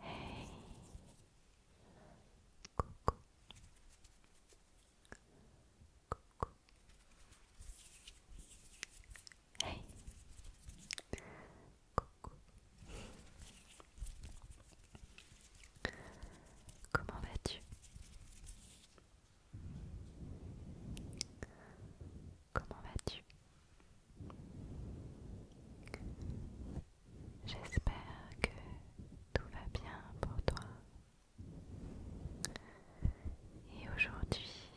Hey, coucou, coucou. Hey, coucou. Comment vas-tu? Comment vas-tu? J'espère que tout va bien pour toi. Et aujourd'hui,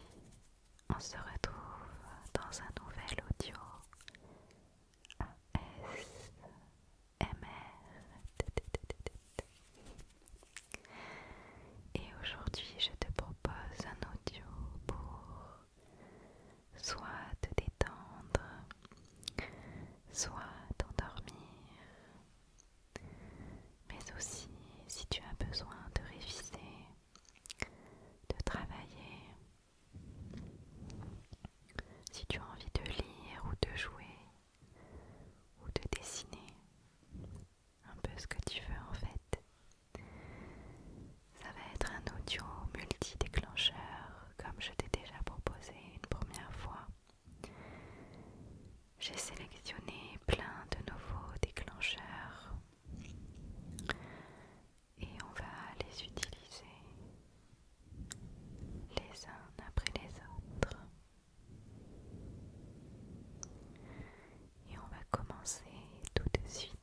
on se retrouve dans un nouvel audio ASMR. Et aujourd'hui, je te propose un audio pour soit te détendre, soit t'endormir, mais aussi si tu as besoin de réviser, de travailler, si tu as envie de lire ou de jouer ou de dessiner, un peu ce que tu veux en fait. Ça va être un audio multi-déclencheur, comme je t'ai déjà proposé une première fois. J'ai sélectionné plein de nouveaux déclencheurs et on va les utiliser les uns après les autres. Et on va commencer tout de suite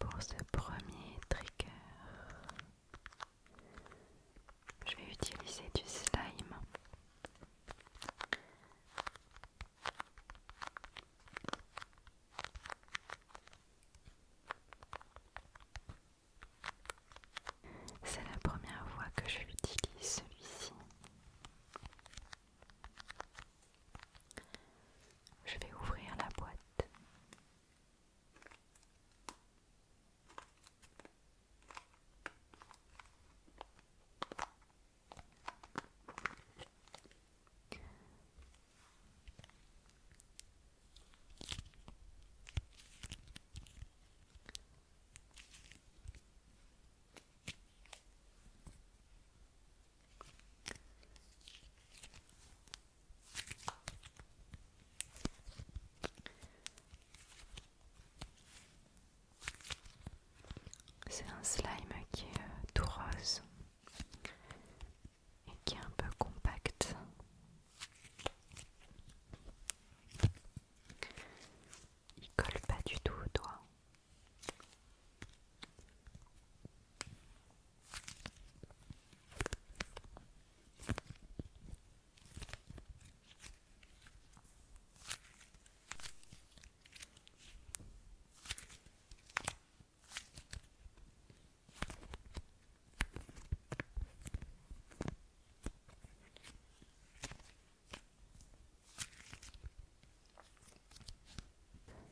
pour ce premier trigger, je vais utiliser du slime. C'est la première fois que je l'utilise celui-ci. Je vais ouvrir la boîte. C'est un slime qui est euh, tout rose et qui est un peu compact Il colle pas du tout au doigt.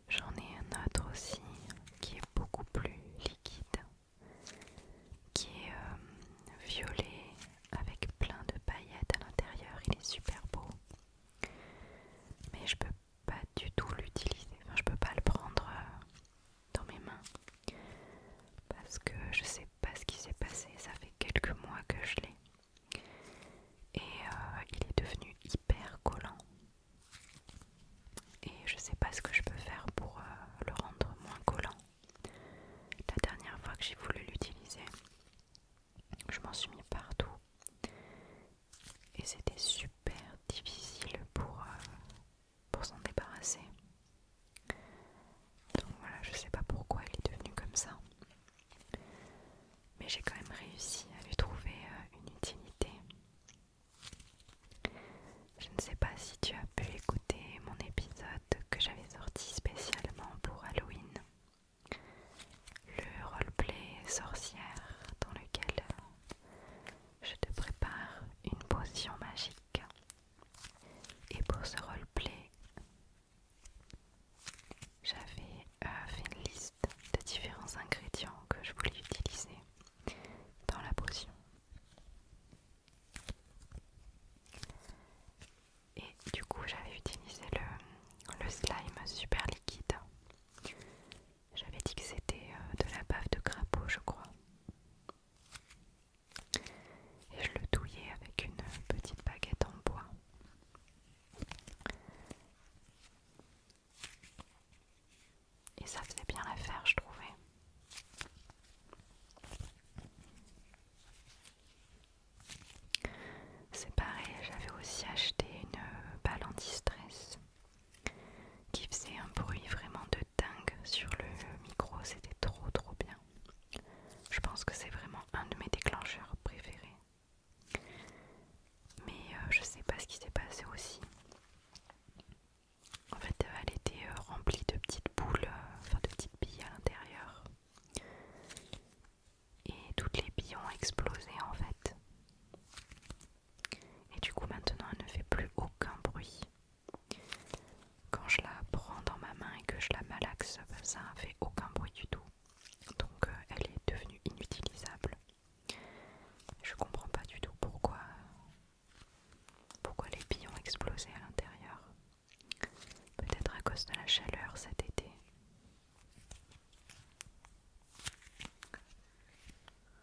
J'en ai un autre aussi qui est beaucoup plus liquide, qui est euh, violet avec plein de paillettes à l'intérieur. Il est super beau, mais je peux pas du tout l'utiliser. Enfin, je peux pas le prendre euh, dans mes mains parce que je sais pas ce qui s'est passé, ça fait quelques mois que je l'ai et euh, il est devenu hyper collant et je sais pas ce que je peux faire pour euh, le rendre moins collant. La dernière fois que j'ai voulu l'utiliser, je m'en suis mis partout et c'était super difficile pour, euh, pour s'en débarrasser. Donc voilà, je sais pas pourquoi elle est devenue comme ça. Mais j'ai quand même réussi à lui trouver euh, une utilité. Je ne sais pas si tu as pu écouter mon épisode que j'avais sorti spécialement pour Halloween. Le roleplay sorcière dans lequel je te prépare une potion magique. Et pour ce roleplay, j'avais euh, fait une liste de différents ingrédients que je voulais utiliser dans la potion. Et du coup, j'avais utilisé le slime super liquide j'avais dit que c'était euh, de la bave de crapaud, je crois. Et je le douillais avec une petite baguette en bois. Et ça faisait bien l'affaire, je trouvais. C'est pareil, j'avais aussi acheté une euh, balle anti-stress qui faisait un bruit vraiment de dingue sur le micro, c'était trop trop bien. Je pense que c'est vraiment un de mes déclencheurs préférés. Mais euh, je sais pas ce qui s'est passé aussi. En fait, euh, elle était euh, remplie de petites boules, enfin de petites billes à l'intérieur. Et toutes les billes ont explosé en fait. Et du coup maintenant elle ne fait plus aucun bruit. Quand je la prends dans ma main et que je la malaxe, ben, ça ne fait aucun bruit du tout. Donc euh, elle est devenue inutilisable. Je comprends pas du tout pourquoi, pourquoi les billes ont explosé à l'intérieur. Peut-être à cause de la chaleur cet été.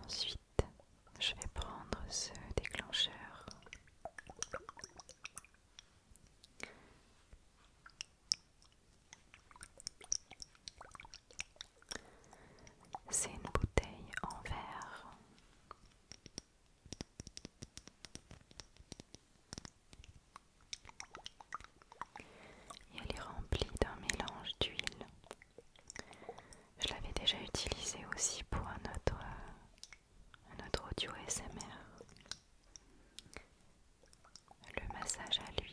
Ensuite, je vais prendre ce déclencheur. C'est une bouteille en verre. Et elle est remplie d'un mélange d'huile je l'avais déjà utilisé aussi pour un autre, euh, audio SMR. Le massage à l'huile.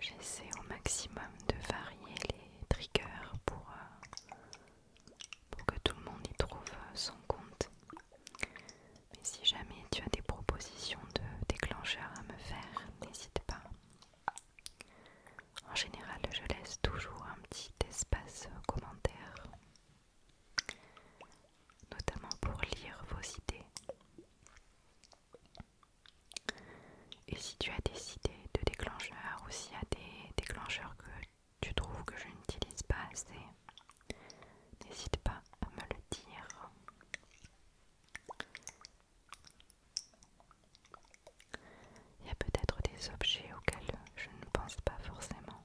J'essaie au maximum de varier les triggers pour, euh, pour que tout le monde y trouve euh, son compte. Mais si jamais tu as des propositions de déclencheurs à me faire, n'hésite pas. En général, je laisse toujours un petit espace commentaire, notamment pour lire vos idées. Et si tu as des idées de déclencheurs ou s'il y a des déclencheurs que tu trouves que je n'utilise pas assez, n'hésite pas à me le dire. Il y a peut-être des objets auxquels je ne pense pas forcément.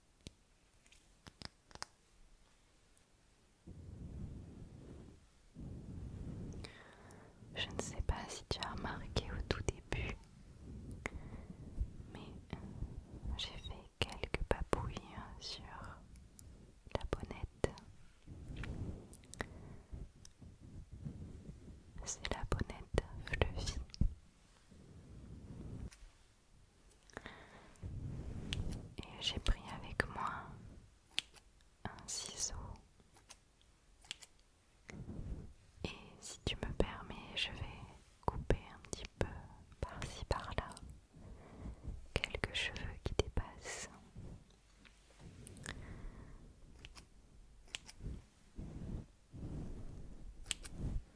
Je ne sais pas si tu as remarqué au tout début, mais j'ai fait quelques papouilles sur la bonnette. C'est la bonnette Fluffy. Et j'ai pris avec moi un ciseau. Et si tu me permets, je vais couper un petit peu par-ci par-là quelques cheveux qui dépassent.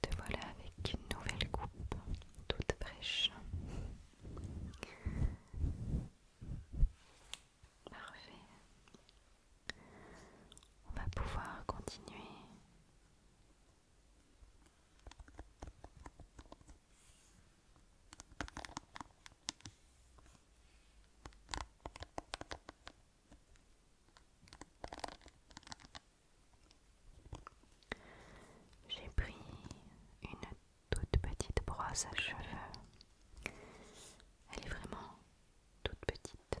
Te voilà avec une nouvelle coupe, toute fraîche. Parfait. On va pouvoir continuer. J'ai pris une toute petite brosse à cheveux. Elle est vraiment toute petite.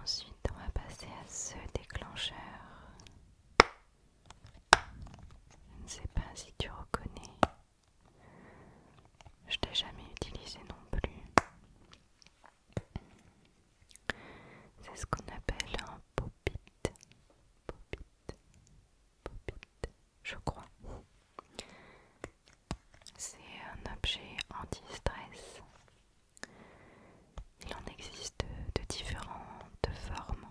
Ensuite, on va passer à ce déclencheur. Je ne sais pas si tu reconnais. Je t'ai jamais utilisé non plus. C'est ce qu'on appelle un pop-it. pop it je crois. C'est un objet anti-stress. Il en existe de différentes formes.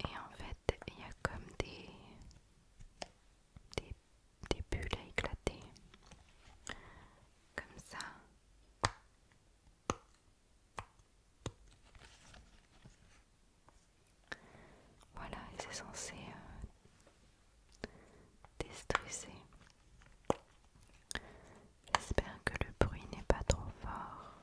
Et en fait, il y a comme des, des bulles à éclater. Comme ça. Voilà, il c'est censé euh, déstresser. J'espère que le bruit n'est pas trop fort.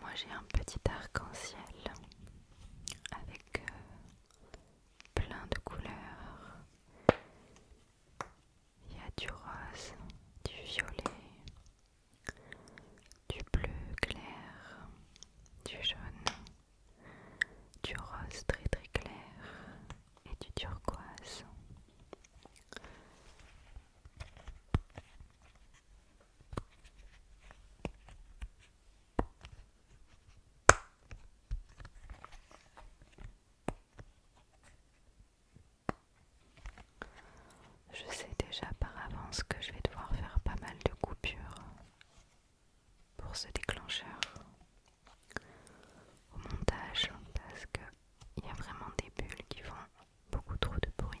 Moi j'ai un petit arc-en-ciel avec euh, plein de couleurs. Il y a du rose, du violet, du bleu clair, du jaune, du rose très très clair et du turquoise. Je sais déjà par avance que je vais devoir faire pas mal de coupures pour ce déclencheur au montage parce qu'il y a vraiment des bulles qui font beaucoup trop de bruit.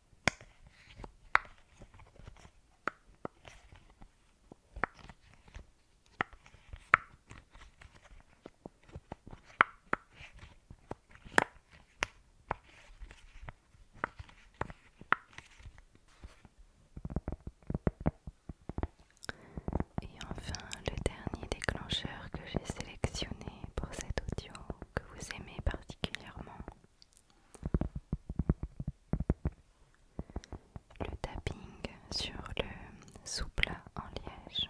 Et enfin, le dernier déclencheur que j'ai sélectionné pour cet audio que vous aimez particulièrement le tapping sur le souple en liège.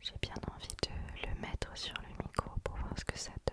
J'ai bien envie de le mettre sur le micro pour voir ce que ça donne.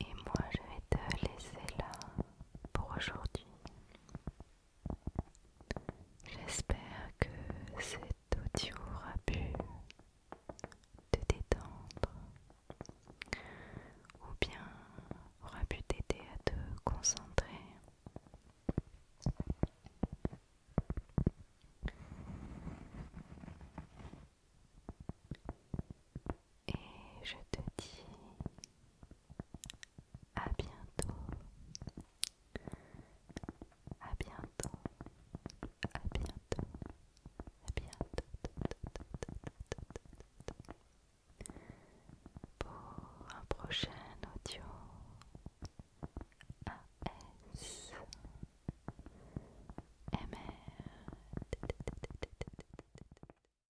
Et moi, je vais te laisser là pour aujourd'hui. J'espère que cet audio aura pu te détendre ou bien aura pu t'aider à te concentrer. Et je te dis à bientôt, à bientôt, à bientôt, à bientôt pour un prochain audio AS